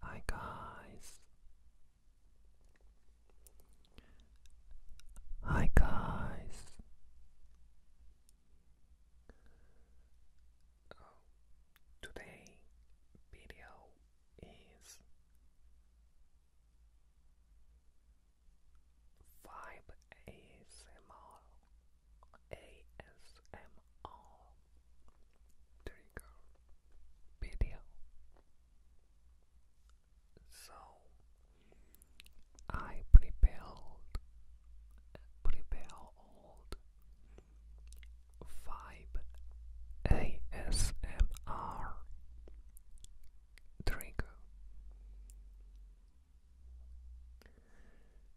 Hi guys. Hi guys. Uh, today video is five ASMR ASMR trigger video. So I prepared prepared five ASMR trigger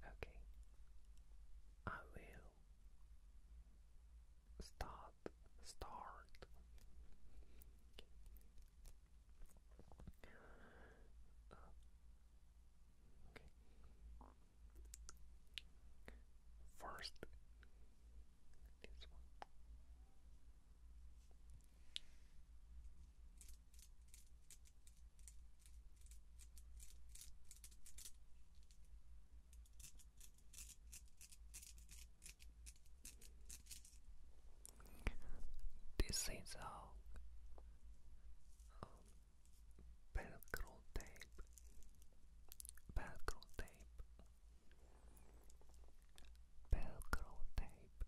Okay, I will start start uh, okay. First, this one. This is a um, velcro tape, velcro tape, velcro tape.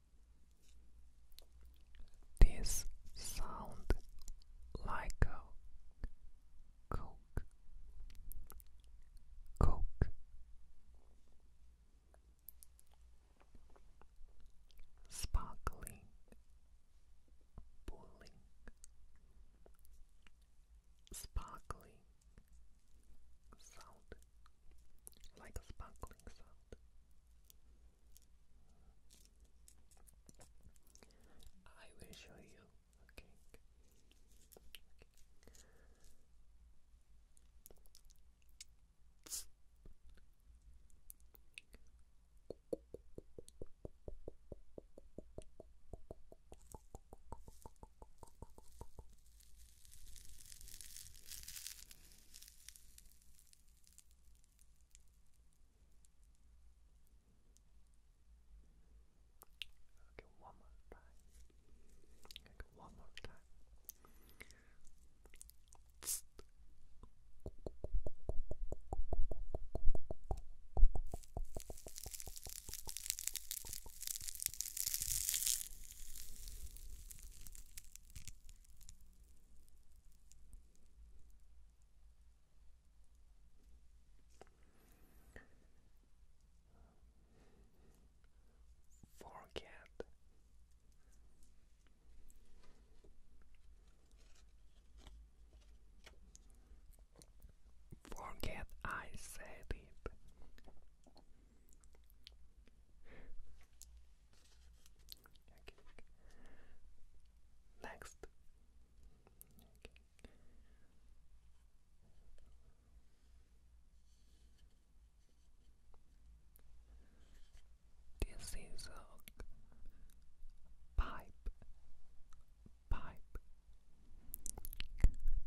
This sound like a coke, coke. Sparkling, bowling, sparkling sound, like a sparkling sound. I will show you. Okay. Okay, one more time. Okay, one more time. Okay, Forget. Forget I said it. Next. This is a pipe. Pipe.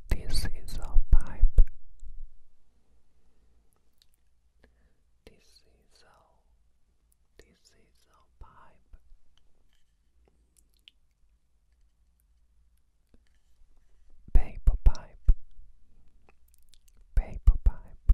This is a pipe. This is a this is a pipe. Paper pipe, paper pipe.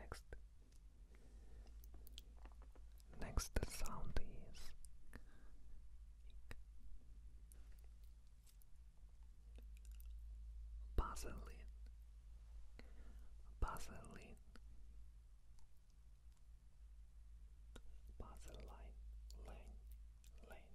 Next, next sound is Baseline, Baseline, Pass a line, line, line.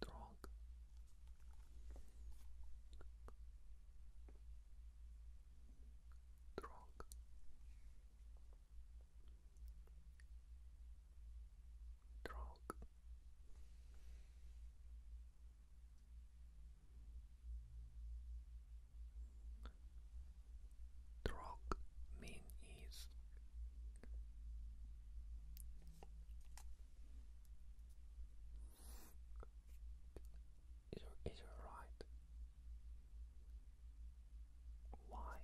Drunk. Drunk. Drunk. Drog mean is. Is it, is it right? Why?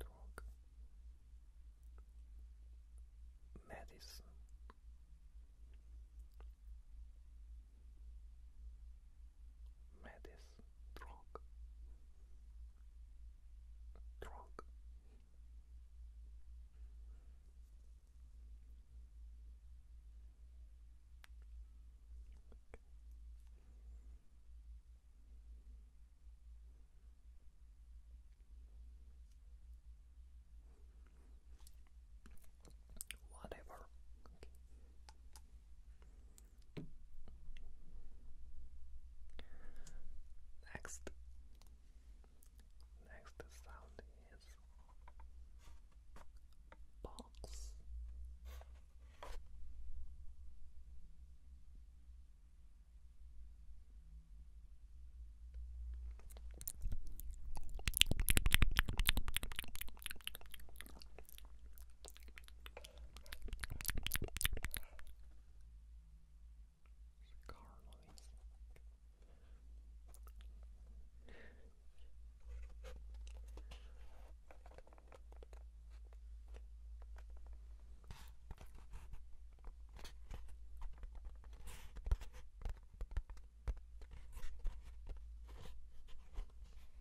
Drug. Medicine. Maddie's drunk. Drunk. Whatever. Next, next sound is box. Cigar noise.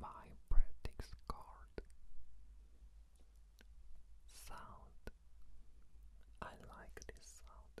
my practice card. Sound. I like this sound.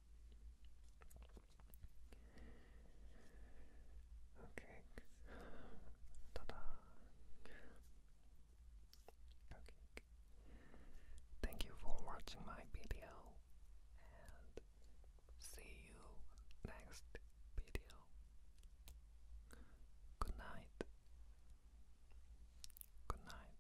Okay. Ta-da. Okay. Thank you for watching my video and see you next video. Good night. Good night.